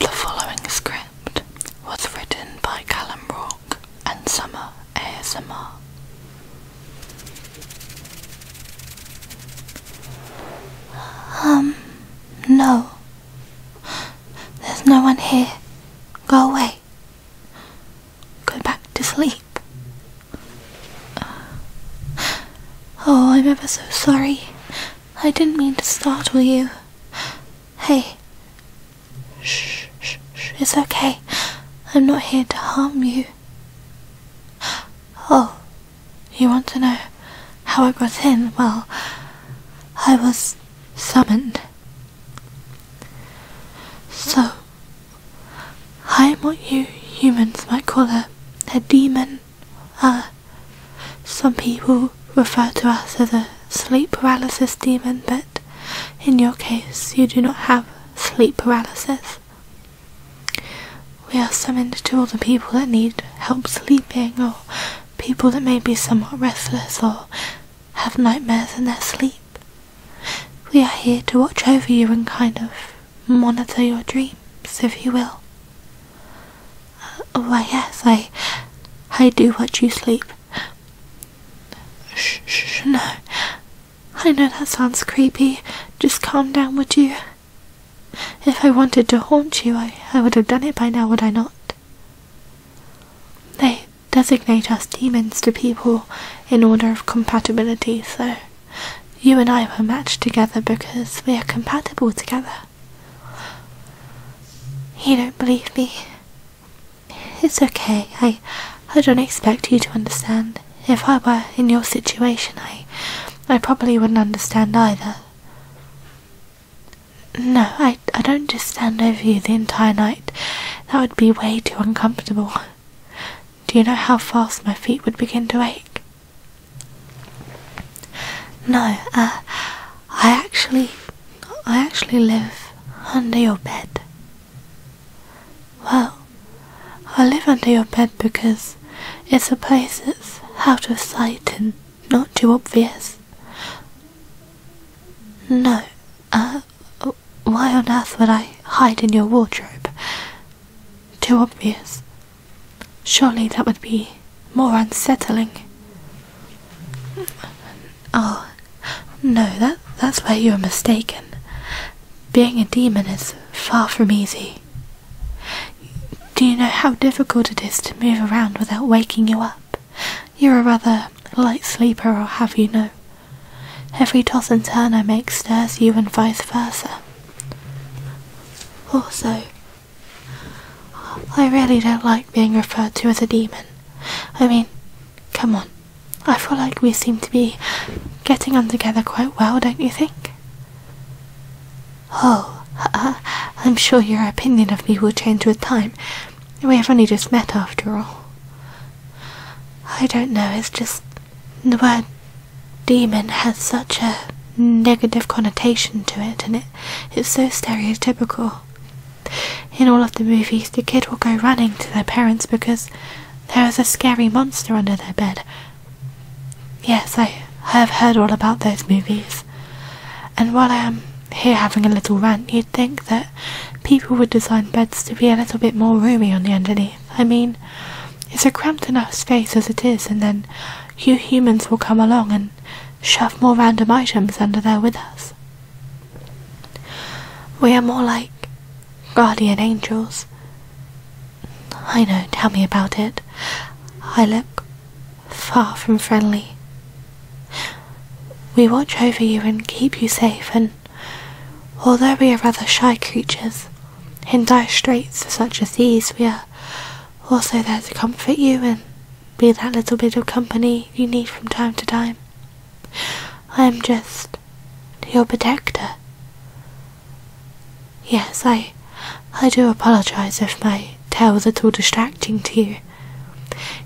The following script was written by Callum Rourke and Summer ASMR. Um, no. There's no one here. Go away. Go back to sleep. Uh, oh, I'm ever so sorry. I didn't mean to startle you. Hey. Shh, shh, shh. It's okay. I'm not here to harm you. Oh, you want to know how I got in? Well, I was summoned. So, I'm what you humans might call a, a demon. Uh, some people refer to us as a sleep paralysis demon, but in your case, you do not have sleep paralysis. We are summoned to all the people that need help sleeping, or people that may be somewhat restless or have nightmares in their sleep. We are here to watch over you and kind of monitor your dreams, if you will. Oh, Why, yes, I, I do watch you sleep. Shh, shh, no. I know that sounds creepy. Just calm down, would you? If I wanted to haunt you, I, I would have done it by now, would I not? They designate us demons to people in order of compatibility, so you and I were matched together because we are compatible together. You don't believe me. It's okay. I I don't expect you to understand. If I were in your situation, I I probably wouldn't understand either. No, I I don't just stand over you the entire night. That would be way too uncomfortable. Do you know how fast my feet would begin to ache? No, uh, I actually, I actually live under your bed. Well, I live under your bed because it's a place that's out of sight and not too obvious. No, uh, why on earth would I hide in your wardrobe? Too obvious. Surely that would be more unsettling. Oh, no, that, that's where you are mistaken. Being a demon is far from easy. Do you know how difficult it is to move around without waking you up? You're a rather light sleeper, I'll have you know. Every toss and turn I make scares you, and vice versa. Also, I really don't like being referred to as a demon. I mean, come on. I feel like we seem to be getting on together quite well, don't you think? Oh, I'm sure your opinion of me will change with time. We have only just met, after all. I don't know, it's just the word demon has such a negative connotation to it and it it's so stereotypical in all of the movies the kid will go running to their parents because there is a scary monster under their bed yes i have heard all about those movies and while i am here having a little rant you'd think that people would design beds to be a little bit more roomy on the underneath I mean, it's a cramped enough space as it is, and then you humans will come along and shove more random items under there with us. We are more like guardian angels. I know, tell me about it. I look far from friendly. We watch over you and keep you safe, and although we are rather shy creatures, in dire straits such as these, we are also there to comfort you and be that little bit of company you need from time to time. I am just your protector. Yes, I, I do apologise if my tail is at all distracting to you.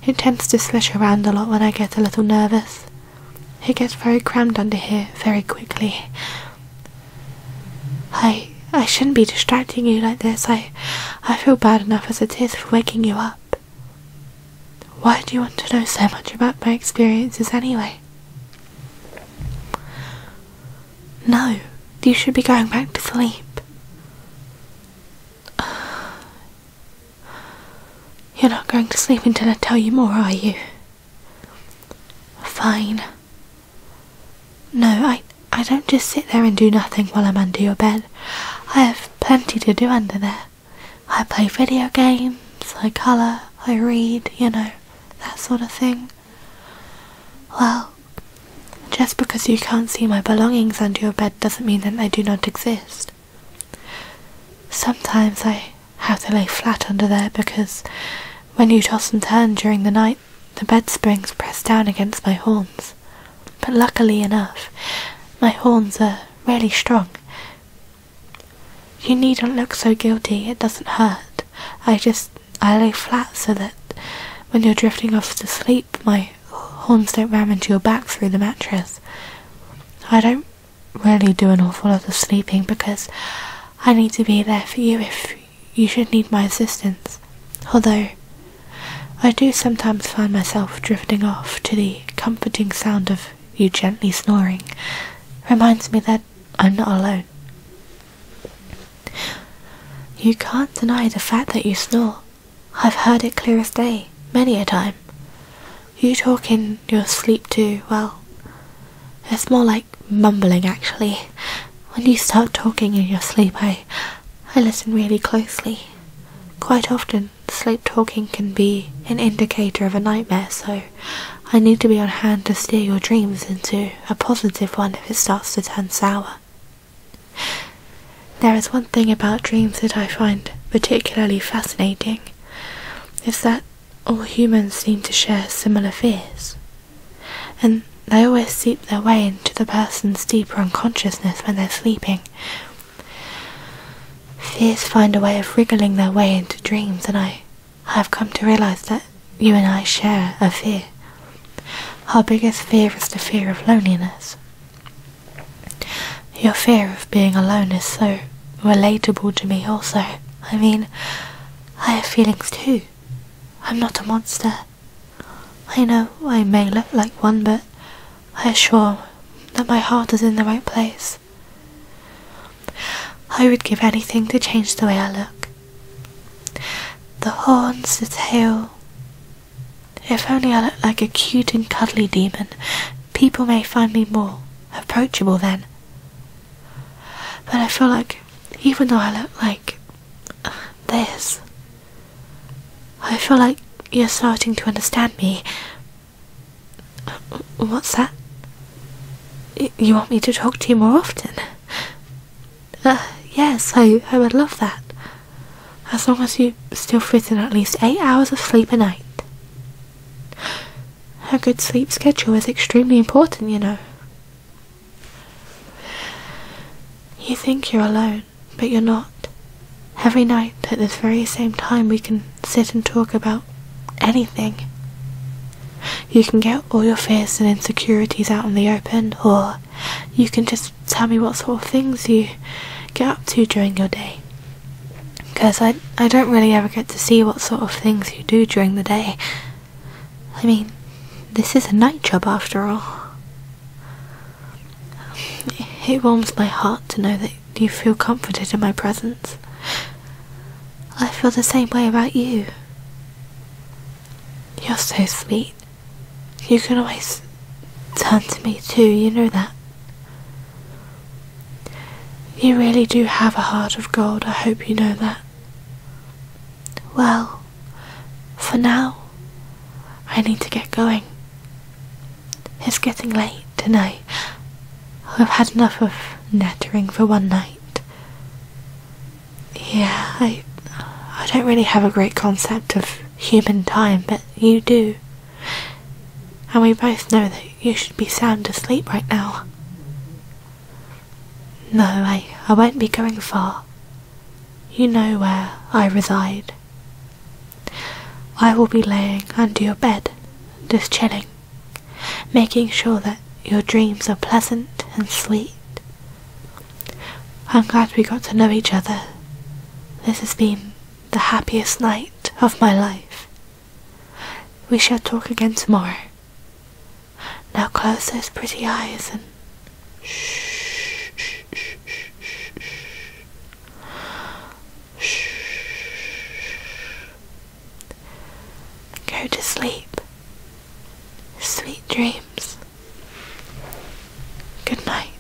It tends to swish around a lot when I get a little nervous. It gets very cramped under here very quickly. I I shouldn't be distracting you like this. I I feel bad enough as it is for waking you up. Why do you want to know so much about my experiences anyway? No, you should be going back to sleep. You're not going to sleep until I tell you more, are you? Fine. No, I, I don't just sit there and do nothing while I'm under your bed. I have plenty to do under there. I play video games, I colour, I read, you know, that sort of thing. Well, just because you can't see my belongings under your bed doesn't mean that they do not exist. Sometimes I how they lay flat under there because when you toss and turn during the night the bed springs press down against my horns. But luckily enough, my horns are really strong. You needn't look so guilty, it doesn't hurt. I just I lay flat so that when you're drifting off to sleep, my horns don't ram into your back through the mattress. I don't really do an awful lot of sleeping because I need to be there for you if you should need my assistance. Although I do sometimes find myself drifting off to the comforting sound of you gently snoring, reminds me that I'm not alone. You can't deny the fact that you snore. I've heard it clear as day, many a time. You talk in your sleep too, well, it's more like mumbling actually. When you start talking in your sleep, I, I listen really closely. Quite often, sleep talking can be an indicator of a nightmare, so I need to be on hand to steer your dreams into a positive one if it starts to turn sour. There is one thing about dreams that I find particularly fascinating. Is that all humans seem to share similar fears, and they always seep their way into the person's deeper unconsciousness when they're sleeping. Fears find a way of wriggling their way into dreams, and I have come to realize that you and I share a fear. Our biggest fear is the fear of loneliness. Your fear of being alone is so relatable to me, also. I mean, I have feelings too. I'm not a monster. I know I may look like one, but I assure that my heart is in the right place. I would give anything to change the way I look. The horns, the tail. If only I looked like a cute and cuddly demon, people may find me more approachable then. But I feel like even though I look like this, I feel like you're starting to understand me. What's that? You want me to talk to you more often? Uh, yes, I, I would love that. As long as you still fit in at least eight hours of sleep a night. A good sleep schedule is extremely important, you know. You think you're alone, but you're not. Every night at this very same time, we can sit and talk about anything. You can get all your fears and insecurities out in the open, or you can just tell me what sort of things you get up to during your day because I, I don't really ever get to see what sort of things you do during the day. I mean, this is a night job after all. It warms my heart to know that you feel comforted in my presence. I feel the same way about you. You're so sweet. You can always turn to me too, you know that. You really do have a heart of gold, I hope you know that. Well, for now, I need to get going. It's getting late, tonight. I, I've had enough of nattering for one night. Yeah, I, I don't really have a great concept of human time, but you do and we both know that you should be sound asleep right now. No, I, I won't be going far. You know where I reside. I will be laying under your bed, just chilling, making sure that your dreams are pleasant and sweet. I'm glad we got to know each other. This has been the happiest night of my life. We shall talk again tomorrow. Now close those pretty eyes and shh. shh, shh, shh, shh. Go to sleep. Sweet dreams. Good night.